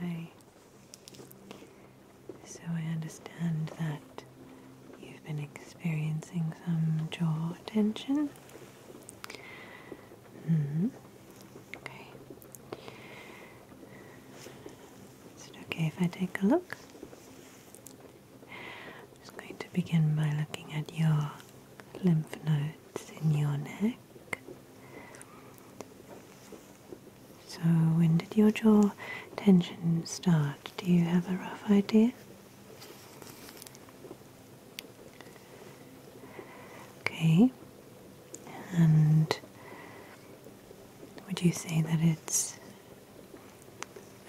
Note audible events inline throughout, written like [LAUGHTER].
Hi. So I understand that you've been experiencing some jaw tension. -hmm. Okay. Is it okay if I take a look? I'm just going to begin by looking at your lymph nodes in your neck. So, when did your jaw tension start? Do you have a rough idea? Okay, and would you say that it's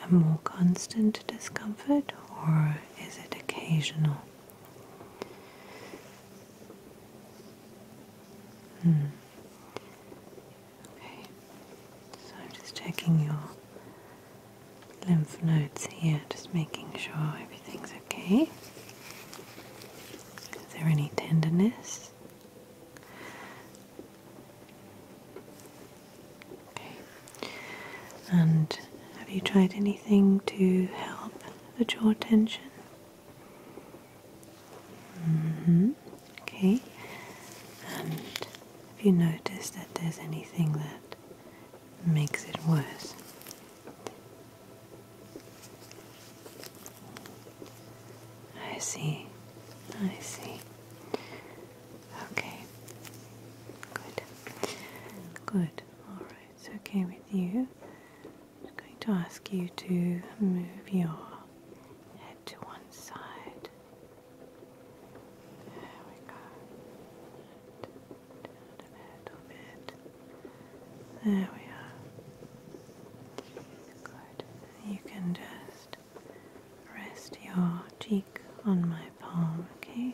a more constant discomfort or is it occasional? Hmm. Okay, so I'm just checking your lymph nodes here, just making sure everything's okay. Is there any tenderness? Okay, and have you tried anything to help? the jaw tension. Mm-hmm. Okay, and have you noticed that there's anything that makes it worse? I see, I see. Okay, good, good, all right it's okay with you, I'm going to ask you to move your head to one side. There we go. Down a little bit. There we are. Good. You can just rest your cheek on my palm, okay?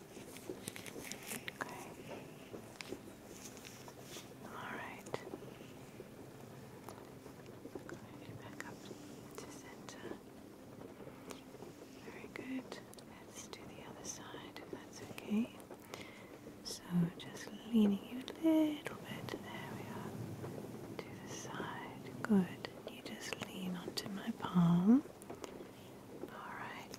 Okay. Alright. Going back up to center. Very good. Let's do the other side if that's okay. So just leaning you a little bit. There we are. To the side. Good. You just lean onto my palm. Alright.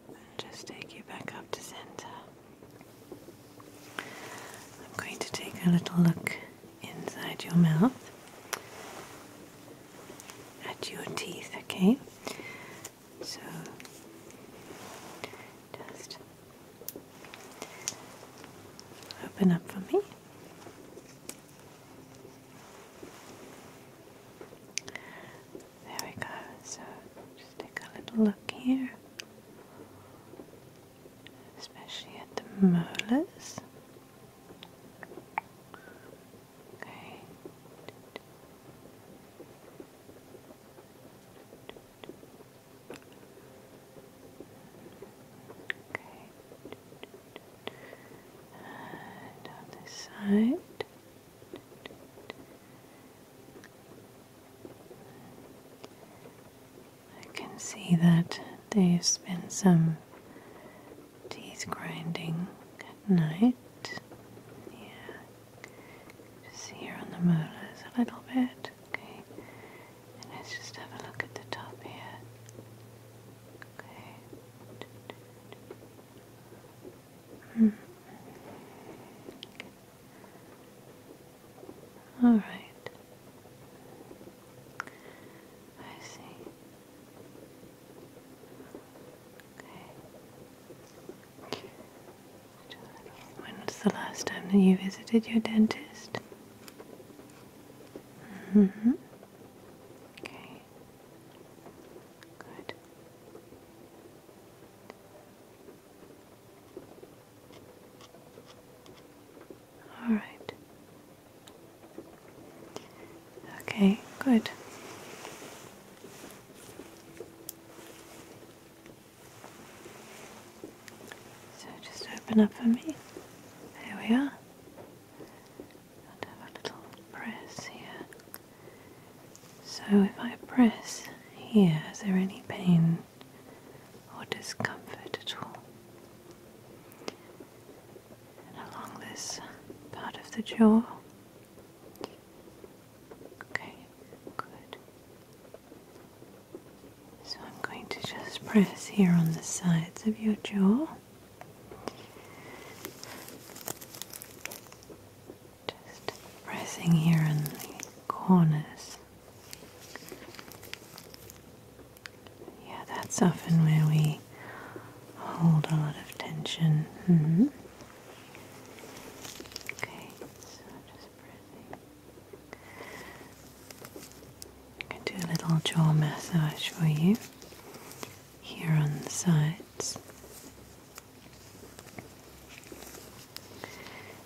just take you back up to center. I'm going to take a little look inside your mouth at your teeth, okay? So just open up for me. There we go. So just take a little look here, especially at the molars. Okay. Okay. And this side. I can see that there's been some teeth grinding at night. Yeah. Just here on the molars a little bit. Okay. let's just have a look at the top here. Okay. Hmm. All right. I see. Okay. When was the last time that you visited your dentist? Mm hmm. Okay. Good. All right. Okay, good. So just open up for me. There we are. And have a little press here. So if I press here, is there any pain? or discomfort at all. And along this part of the jaw. Okay, good. So I'm going to just press here on the sides of your jaw. Just pressing here in the corners. Yeah, that's often where we hold a lot of tension. Mm Okay, so just pressing. can do a little jaw massage for you here on the sides.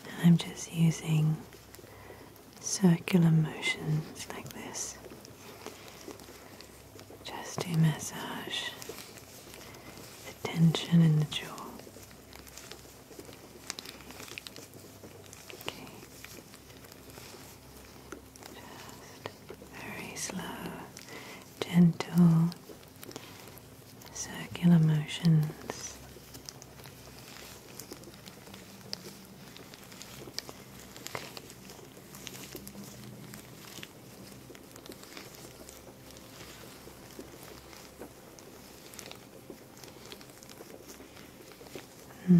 And I'm just using circular motions like this just to massage the tension in the jaw. Okay. Just very slow, gentle circular motions. Hmm.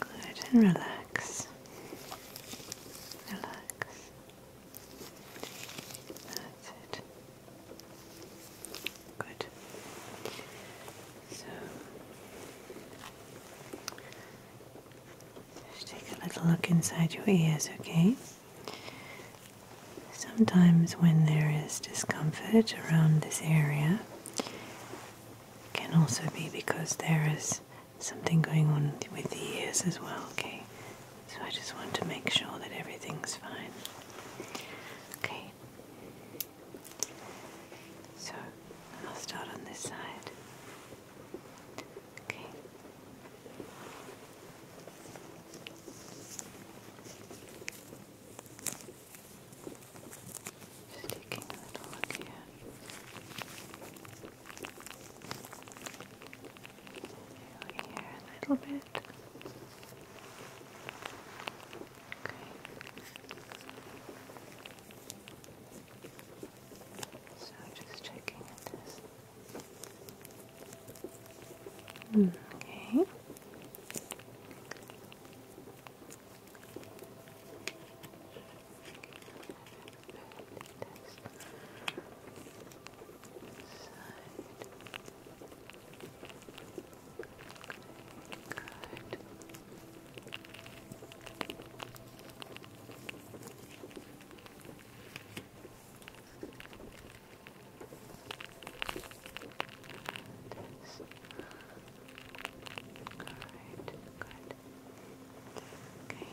Good and relax. Relax. That's it. Good. So just take a little look inside your ears, okay? Sometimes when there is discomfort around this area, it can also be because there is something going on with the ears as well, okay? So I just want to make sure that everything's fine. Okay. So I'll start on this side. Okay. Just taking a little look here. Feel here a little bit. Okay. So just checking this. Hmm, okay. Side. Good. Good, Okay.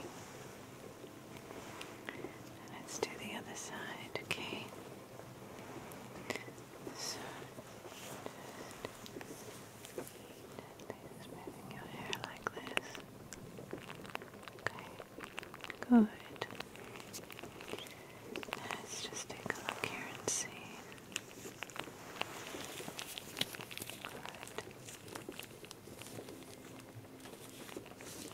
let's do the other side, okay? So just moving your hair like this. Okay, good. Let's just take a look here and see. Good. And just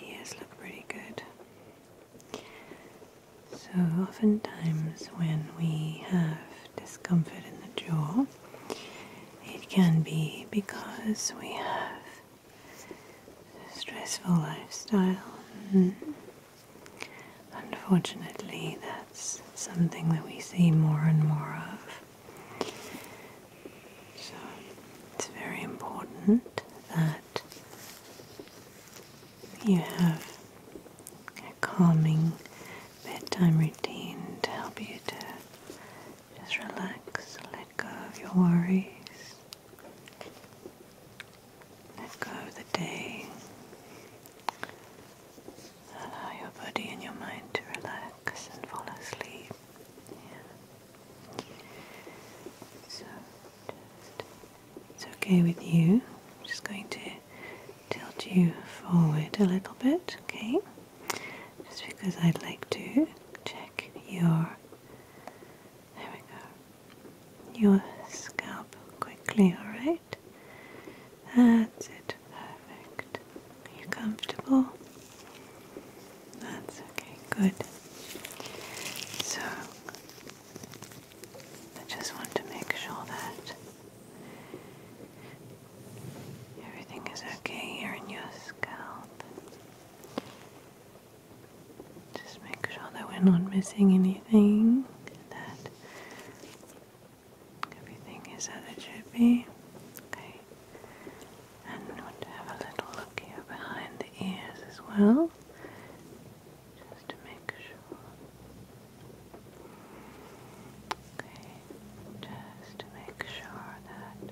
Yes, look pretty good. So, oftentimes, when we have discomfort in the jaw, it can be because we have a stressful lifestyle. And mm. unfortunately, that's something that we see more and more of. So it's very important that you have a calming bedtime routine to help you to just relax, let go of your worries, let go of the day, allow your body and your mind to relax and fall asleep. So just, it's okay with you. I'm just going to tilt you forward a little bit, okay? Just because I'd like to check your there we go. Your scalp quickly, alright? That's it. Perfect. Are you comfortable? That's okay, good. So, I just want to make sure that everything is okay here in your scalp. Just make sure that we're not missing anything, that everything is as it should be. Okay. And we'll have a little look here behind the ears as well, just to make sure. Okay, just to make sure that.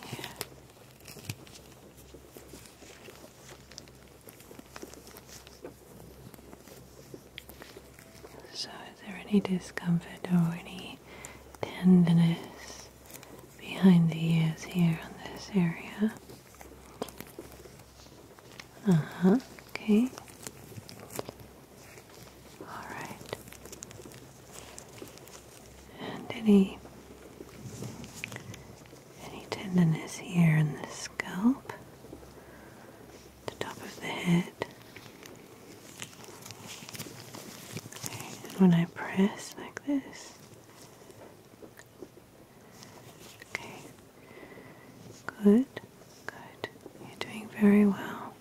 Okay. Okay, just checking here. So, is there any discomfort or any tenderness behind the ears here on this area? Uh huh, okay. Alright. And any any tenderness here in the scalp, the top of the head. Okay, when I press like this, okay, good, good, you're doing very well.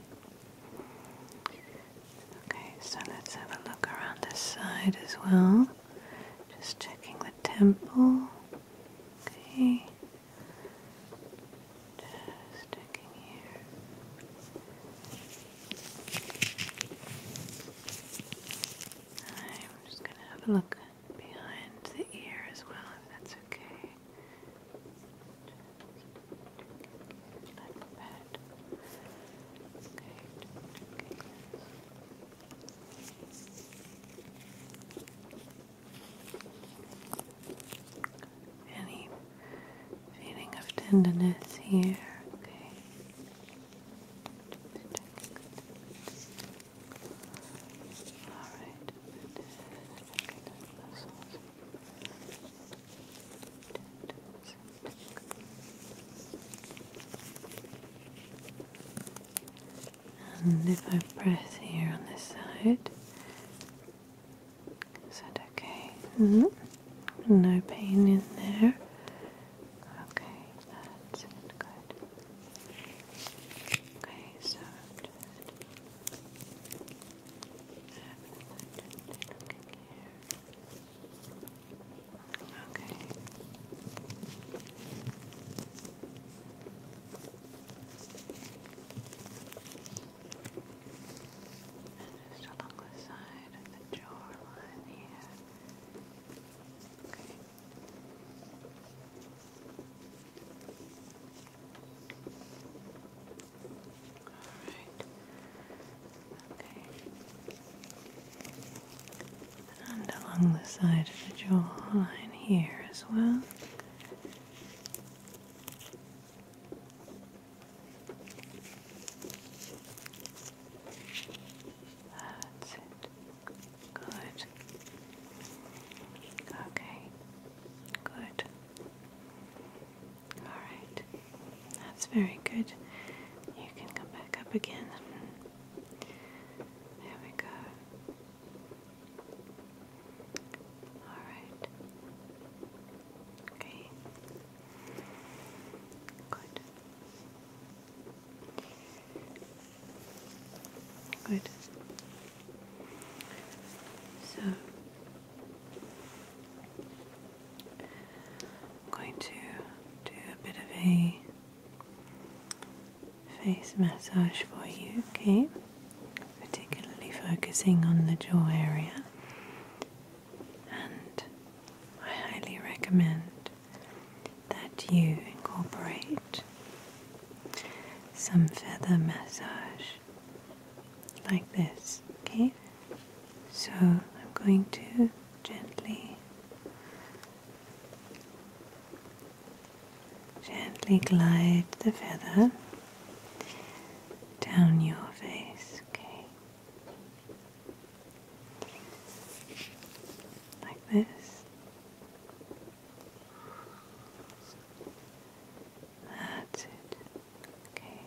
Okay, so let's have a look around this side as well. Just checking the temple. Okay. Just checking here. I'm just going to have a look behind the ear as well, if that's okay. Just like that. Okay. Any feeling of tenderness here? Okay. All right. And if I press here on this side, is that okay? Mm-hmm. No pain in there. Okay, that's Good. Okay, so and just along the side of the jawline here. Okay. Alright. Okay and along the side of the jawline here as well. That's it. Good. Okay. Good. Alright. That's very good. You can come back up again. There we go. Alright. Okay. Good. Good. So I'm going to do a bit of a face massage for you, okay? Particularly focusing on the jaw area. And I highly recommend that you incorporate some feather massage like this, okay? So I'm going to gently Gently glide the feather down your face, okay? Like this. That's it. Okay.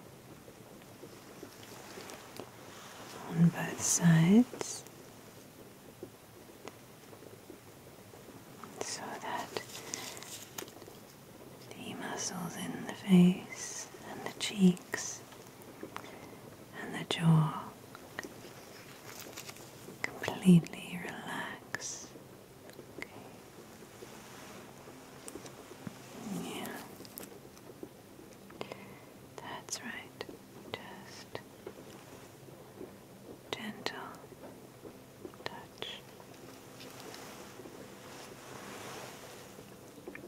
On both sides so that the muscles in the face and the cheeks and the jaw completely relax. Yeah. That's right. Just gentle touch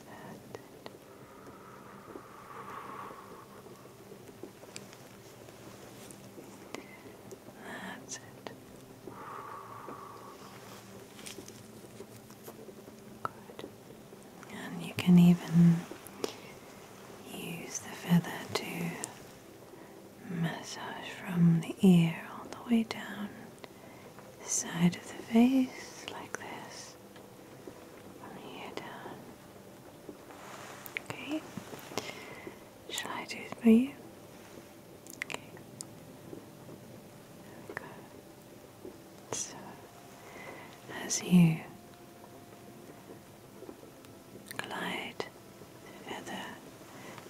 That's it. Good. And you can even use the feather to Massage from the ear all the way down the side of the face, like this. From here down. Okay. Shall I do it for you? Okay. There So, as you glide further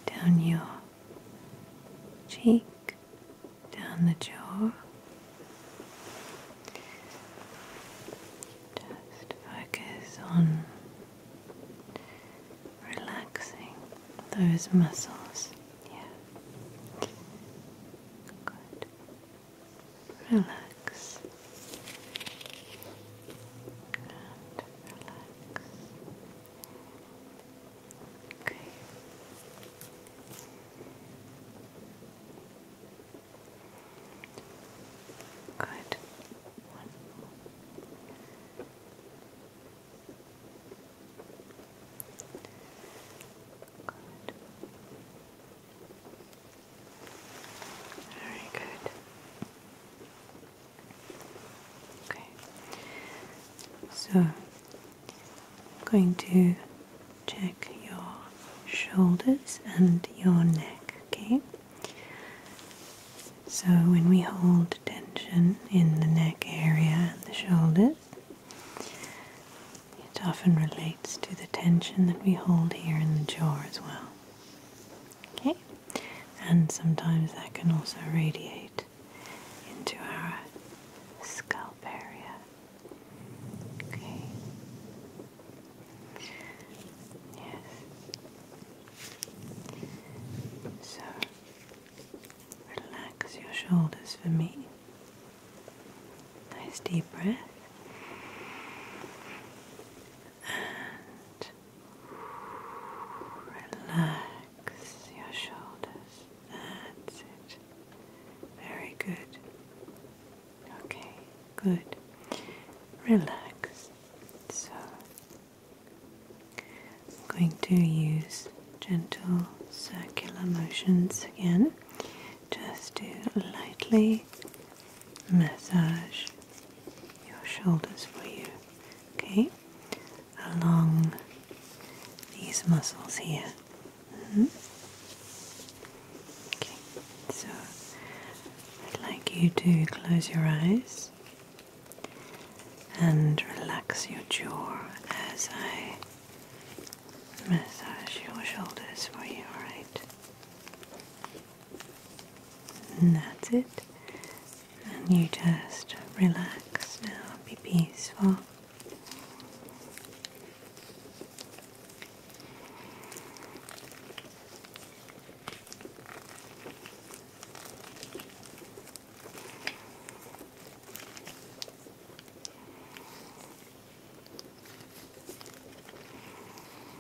down your cheek, down the jaw. Just focus on relaxing those muscles. Yeah. Good. Relax. And relax. Okay. Good. Good. Very good. Okay, so I'm going to check your shoulders and your neck, okay? So when we hold tension in the neck area and the shoulders, it often relates to the tension that we hold here in the jaw as well. Okay? And sometimes that can also radiate into our scalp area. Okay? Yes. So, relax your shoulders for me. Nice deep breath. And Relax your shoulders. That's it. Very good. Okay, good. Relax. So, I'm going to use gentle circular motions again just to lightly massage your shoulders for you okay, along these muscles here. Mm -hmm. Okay, so I'd like you to close your eyes and relax your jaw as I massage your shoulders for you, alright? and That's it and you just relax now, be peaceful.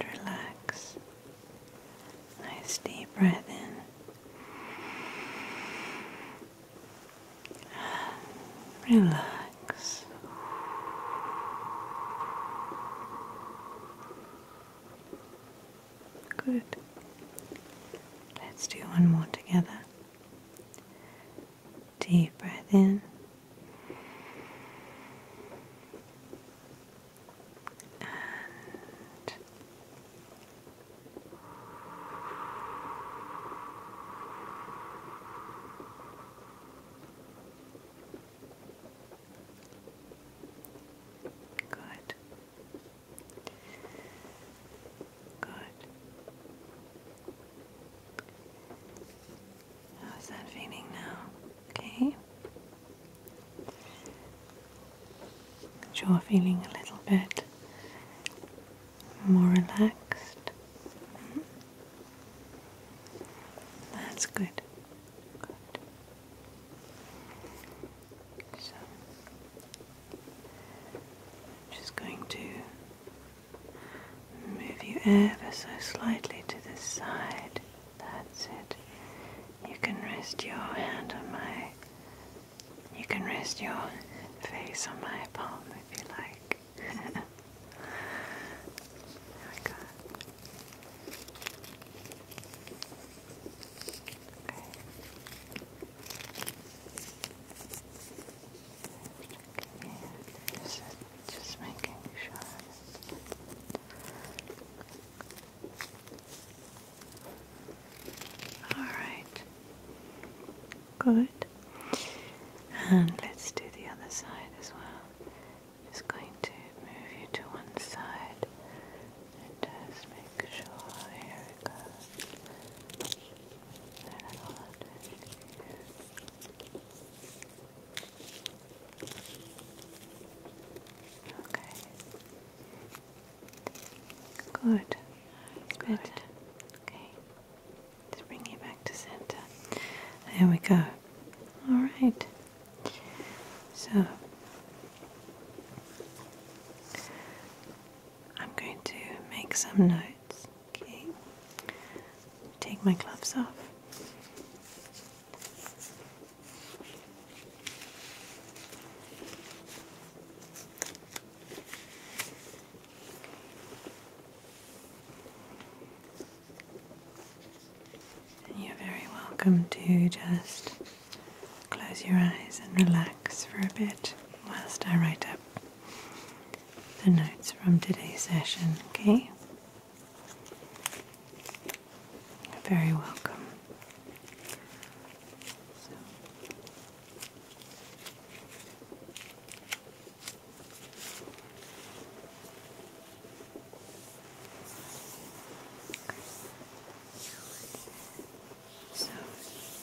And relax. Nice deep breath in. Relax. Good. Let's do one more together. Deep breath in. And Good. Good. How's that feeling now? Okay. Jaw feeling a little bit more relaxed. That's good. Good. So, just going to move you ever so slightly to the side. That's it. You can rest your hand on my. You can rest your face on my palm if you like back. there we go. Okay. Yeah, just, just making sure. All right. Good. And let's do the other side as well. Just going to move you to one side and just make sure. Here it goes. Okay. Good. Good. Okay to bring you back to center. There we go. All right. So I'm going to make some notes. Okay. Take my gloves off you're very welcome to just close your eyes and relax for a bit whilst I write up the notes from today's session, okay? very welcome. So Today,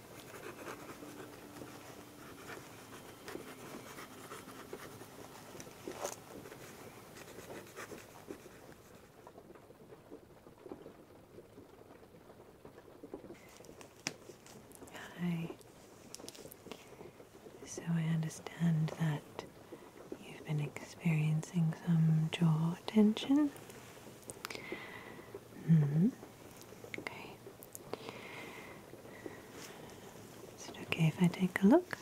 Hi. So I understand that you've been experiencing some jaw tension. Mm-hmm. Is it okay if I take a look?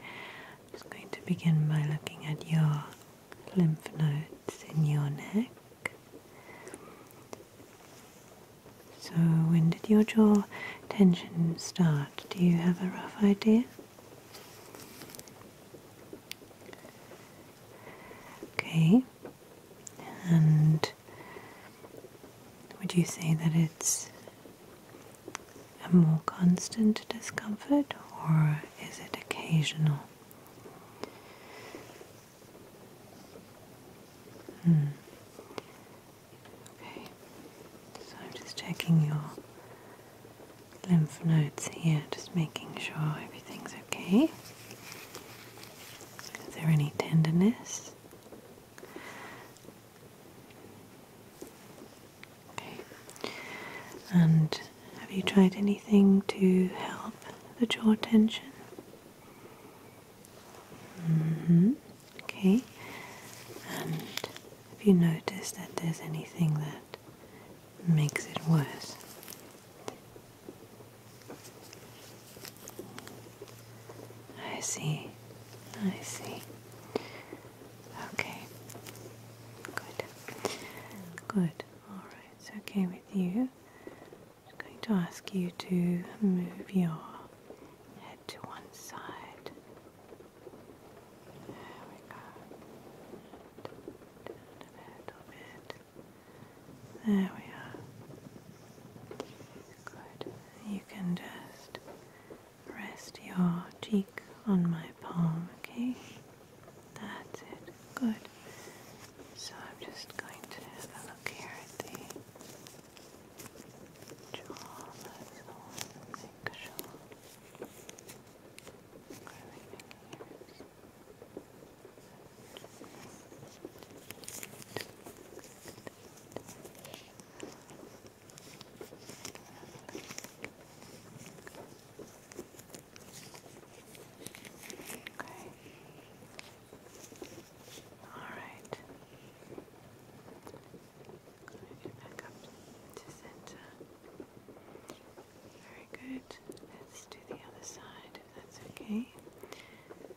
I'm just going to begin by looking at your lymph nodes in your neck. So, when did your jaw tension start? Do you have a rough idea? Okay, and would you say that it's a more constant discomfort or is it occasional? Hmm. Okay, so I'm just checking your lymph nodes here, just making sure everything's okay. Is there any tenderness? Okay. And have you tried anything to help the jaw tension? hmm Okay. And have you noticed that there's anything that makes it worse? I see. I see. Okay. Good. Good. All right. It's okay with you. I'm going to ask you to move your head to one side. There we go. a little bit. There we are. Good. You can just rest your cheek on my palm, okay? That's it. Good. So I'm just going to have a look here at the jaw. That's the one. Make sure. Everything here is Okay. All right. I'm going to get back up to center. Very good. Let's do the other side if that's okay.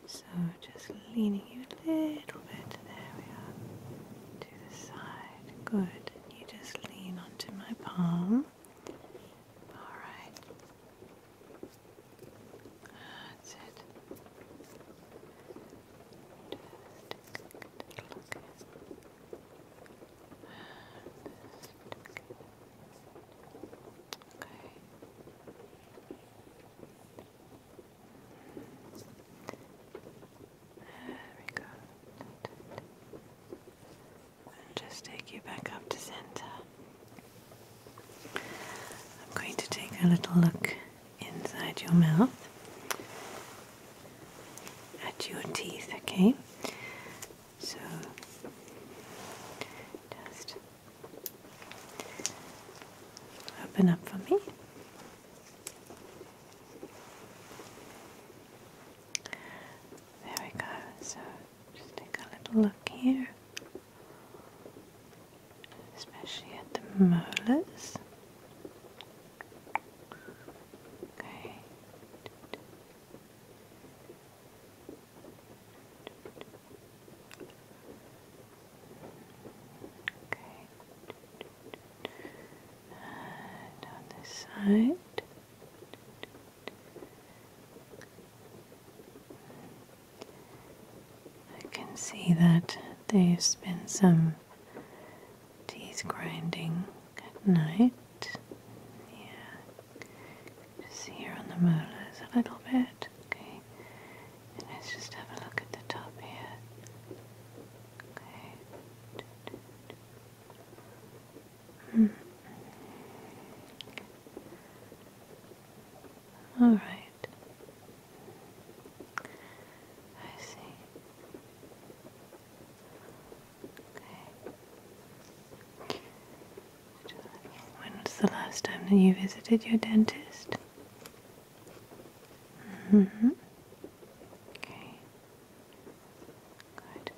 So just leaning you a little bit. There we are. To the side. Good. You just lean onto my palm. Alright. That's it. Just look at Okay. There we go. And just take you back up to center. I'm going to take a little look inside your mouth at your teeth, okay? So just open up for me. There we go. So just take a little look here, especially at the molars. Okay. Okay. And on this side. I can see that there's been some teeth grinding at night. Yeah. Just here on the molars a little bit, okay? let's just have a look at the top here. Okay. Hmm. All right. I see. Okay. When was the last time that you visited your dentist? hmm. Okay. Good.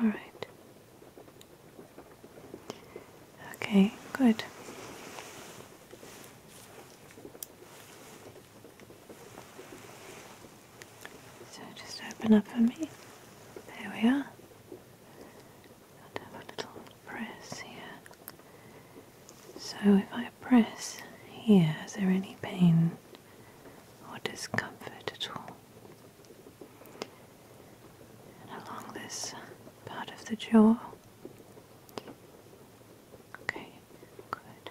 All right. Okay, good. So just open up for me. There we are. And have a little press here. So if I press here, is there any pain or discomfort at all? And along this part of the jaw. Okay, good.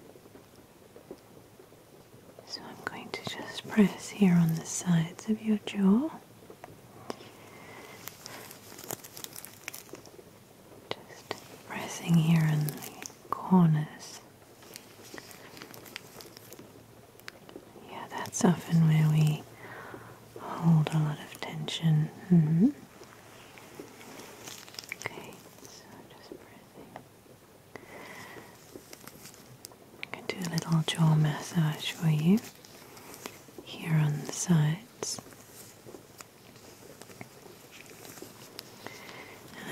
So I'm going to just press here on the sides of your jaw. Just pressing here in the corners. Yeah, that's often where we hold a lot of tension. Mm-hmm. Okay, so just pressing I'm going to do a little jaw massage for you here on the sides.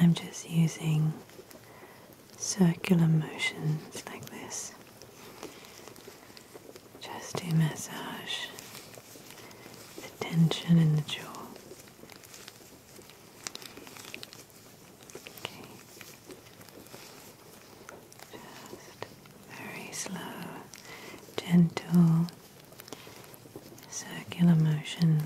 I'm just using circular motions like this just to massage the tension in the jaw. Just very slow, gentle circular motions.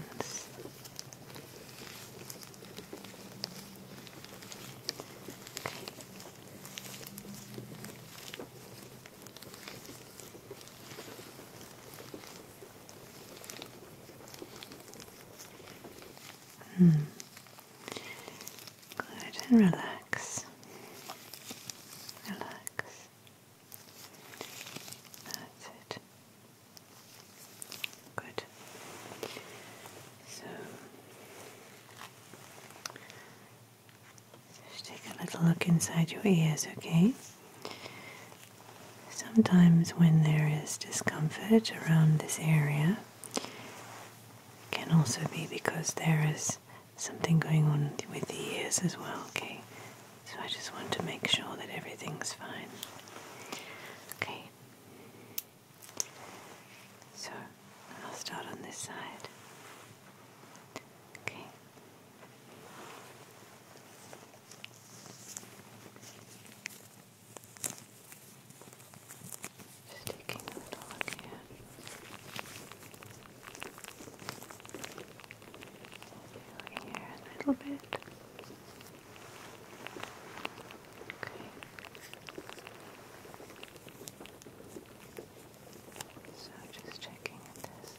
Hmm. Good and relax. Relax. That's it. Good. So just take a little look inside your ears, okay? Sometimes, when there is discomfort around this area, it can also be because there is something going on with the ears as well, okay? So, I just want to make sure that everything's fine. Okay. So, I'll start on this side. Okay. Just taking a little look here. a little bit. Okay. So just checking this.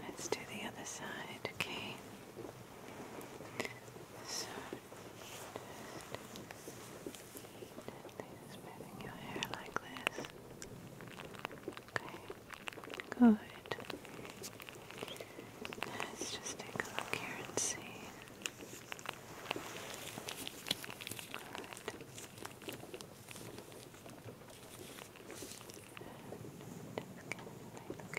let's do the other side, okay? So just gently smoothing your hair like this. Okay. Good. Let's just take a look here and see. Alright. Sure.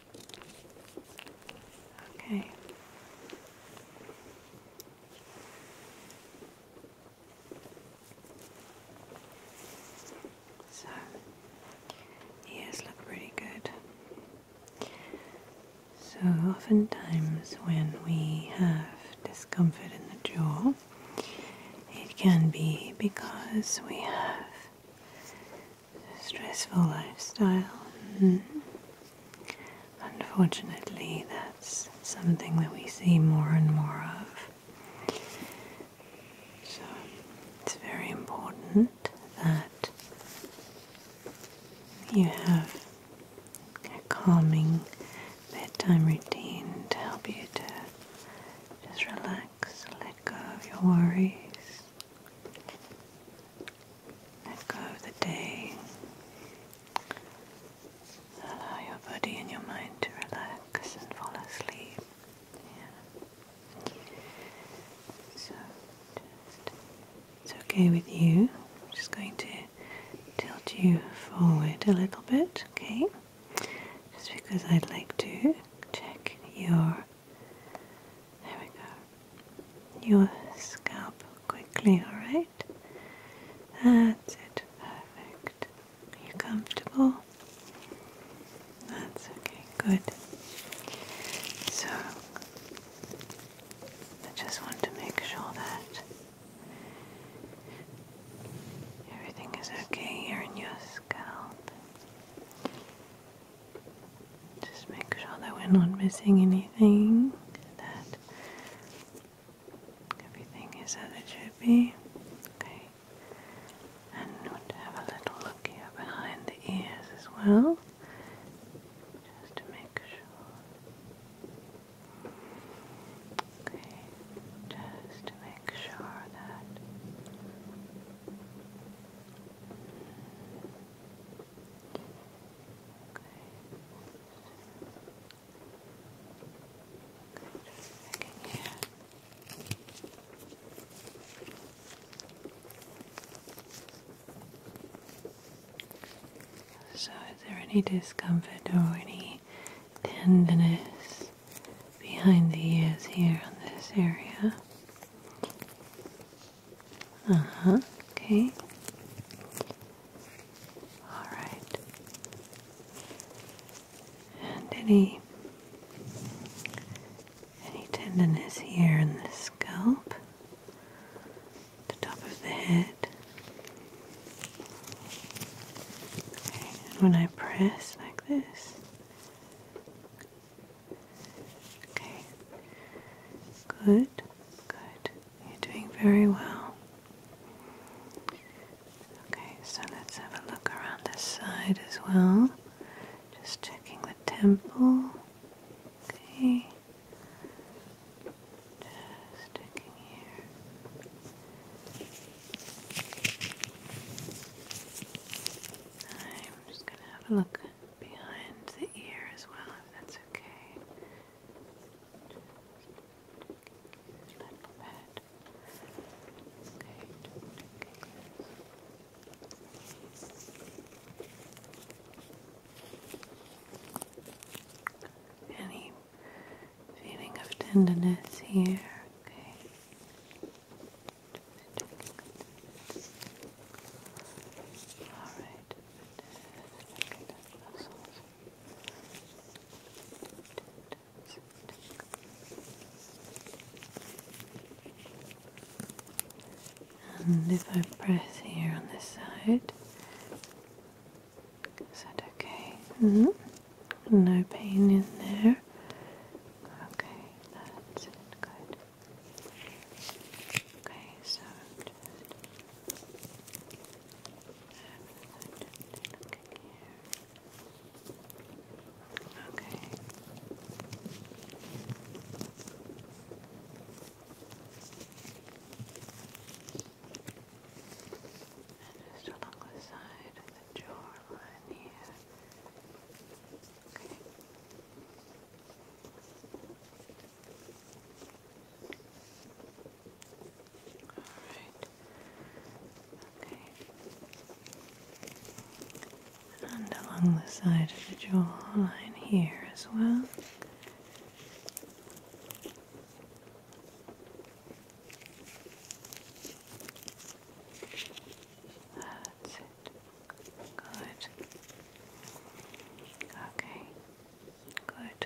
Okay. So, ears look really good. So, oftentimes when we have discomfort in the jaw, it can be because we have stressful lifestyle. Mm. Unfortunately, that's something that we see more and more of. So, it's very important that you have a calming bedtime routine to help you to just relax, let go of your worries, let go of the day. Allow your body and your mind to relax and fall asleep. Yeah. So it's okay with you. I'm just going to tilt you forward a little bit, okay? Just because I'd like to check your there we go. Your scalp quickly, alright? That's it. Perfect. Are you comfortable? That's okay. Good. So, I just want to make sure that everything is okay here in your scalp. Just make sure that we're not missing anything, that everything is as it should be. Okay. And we'll have a little look here behind the ears as well. Just to make sure. Okay. Just to make sure that so, is there any discomfort or any tenderness behind the ears here on this area? Uh huh. Okay. All right. And any any tenderness here in the scalp, the top of the head. Okay. when I press like this, Okay. Good. Good. You're doing very well. Okay, so let's have a look around this side as well. Just checking the temple. Okay. Just checking here. I'm just going to have a look behind the ear as well, if that's okay. Any feeling of tenderness here? Okay. Alright, and if I press here on this side, is that okay? Mm-hmm. No pain in there. Okay, that's Good. Okay, so just Okay. And just along the side of the jawline here. Okay. And along the side of the jawline here as well. That's it. Good. Okay. Good.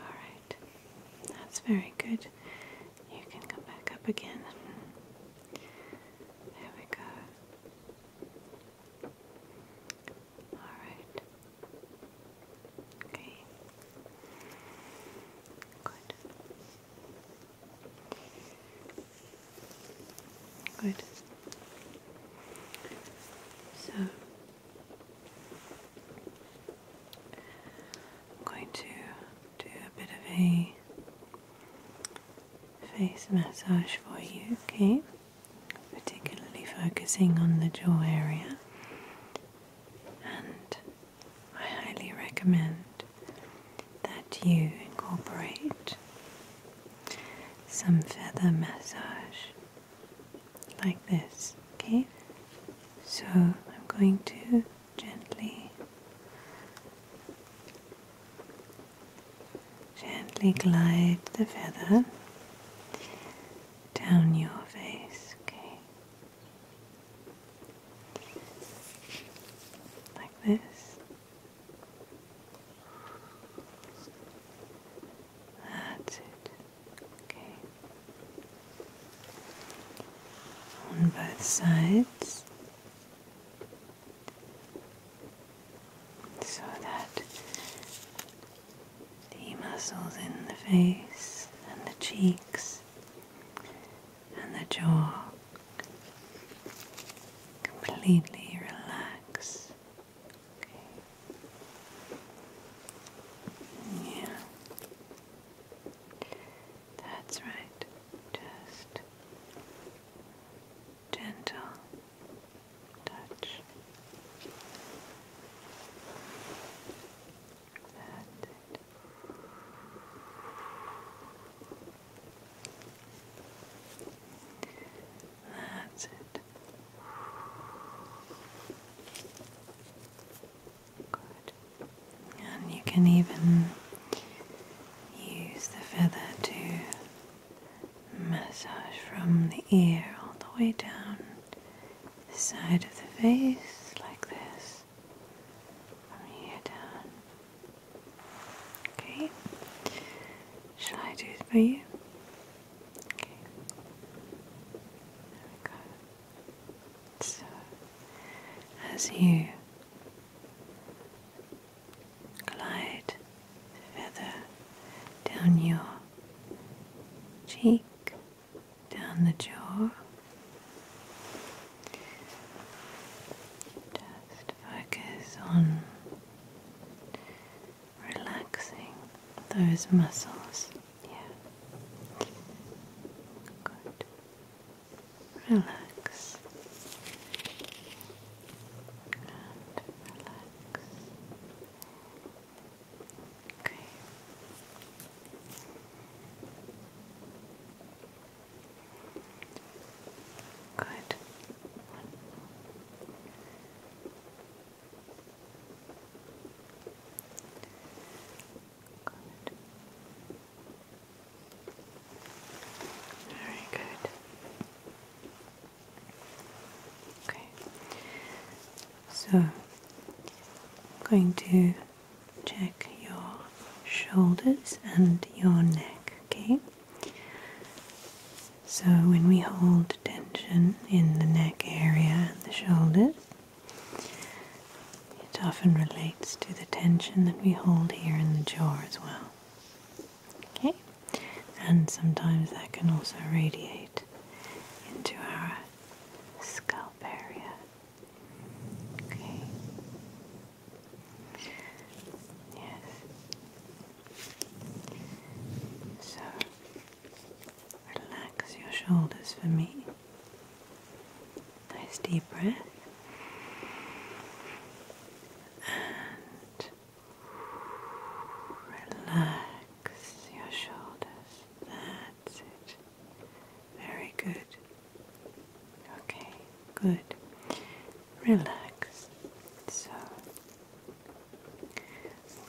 All right. That's very good. You can come back up again. There we go. All right. Okay. Good. Good. So I'm going to do a bit of a face massage for you, okay? Particularly focusing on the jaw area, and I highly recommend that you incorporate some feather massage like this, okay? So I'm going to gently, gently glide the feather down your face, okay? Like this. That's it. Okay. On both sides. So that the muscles in the face and the cheeks and the jaw completely relax. Yeah. That's right. Just gentle touch. That's that's it. Good. And you can even use the feather to massage from the ear all the way down the side of the face, like this. From here down. Okay. Shall I do it for you? Okay. So, as you glide the down your cheek, down the jaw, just focus on relaxing those muscles. Yeah. Good. Relax. And relax. Okay. Good. Very good. Okay. So, I'm going to check your shoulders and your neck, okay? So, when we hold tension in the neck area and the shoulders, it often relates to the tension that we hold here in the jaw as well. Okay? And sometimes that can also radiate into our scalp area. Okay. Yes. So relax your shoulders for me. Nice deep breath. And relax your shoulders. That's it. Very good. Okay, good relax. So I'm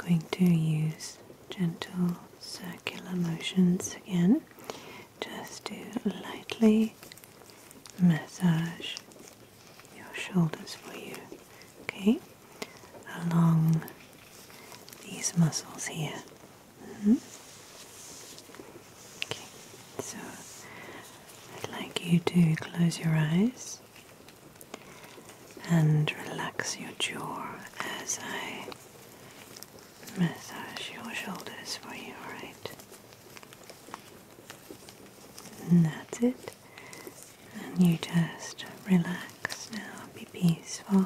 going to use gentle circular motions again just to lightly massage your shoulders for you, okay? Along these muscles here. Mm-hmm. Okay, so I'd like you to close your eyes and relax your jaw as I massage your shoulders for you, right? And that's it. And you just relax now, be peaceful.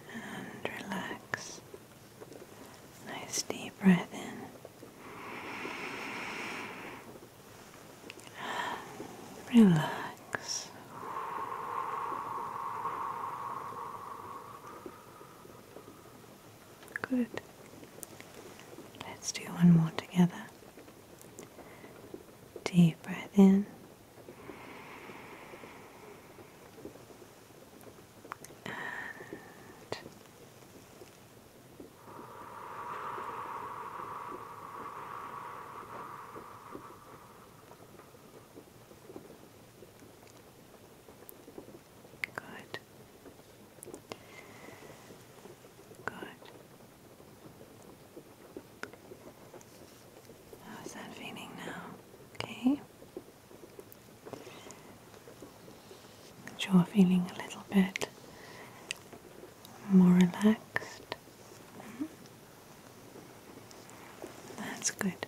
And relax. Nice deep breath in. relax. Good. Let's do one more together. Deep breath in and Good. Good. How's that feeling now? Okay. You're feeling a little bit more relaxed. Mm-hmm. That's good.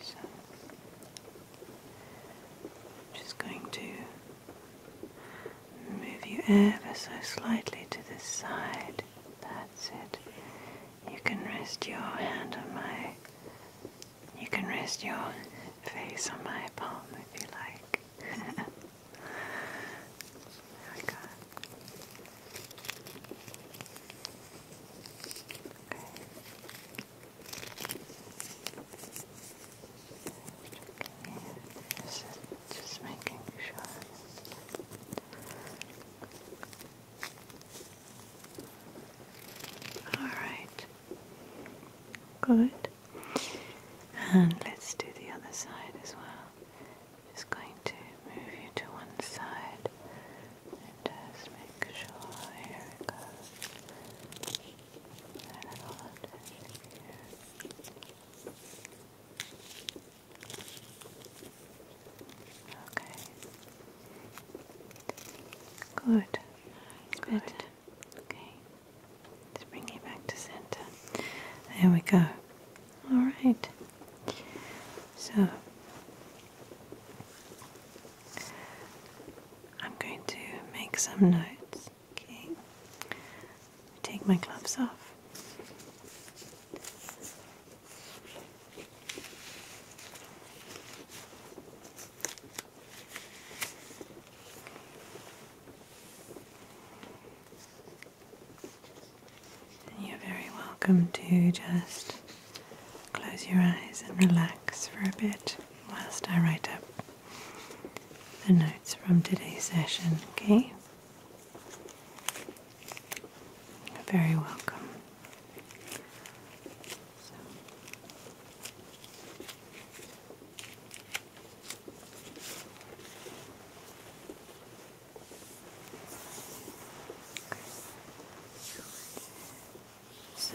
So, just going to Move you ever so slightly to this side. That's it. You can rest your hand on my. You can rest your face on my palm if you like. there [LAUGHS] we Okay. Alright. Good. And let's do the other side as well. Just going to move you to one side and just make sure. Here it goes. Okay. Good. Good. Okay. Let's bring you back to center. There we go. All right. So I'm going to make some notes Okay. Take my gloves off. And you're very welcome to just close your eyes and relax for a bit whilst I write up the notes from today's session, okay? You're very welcome. So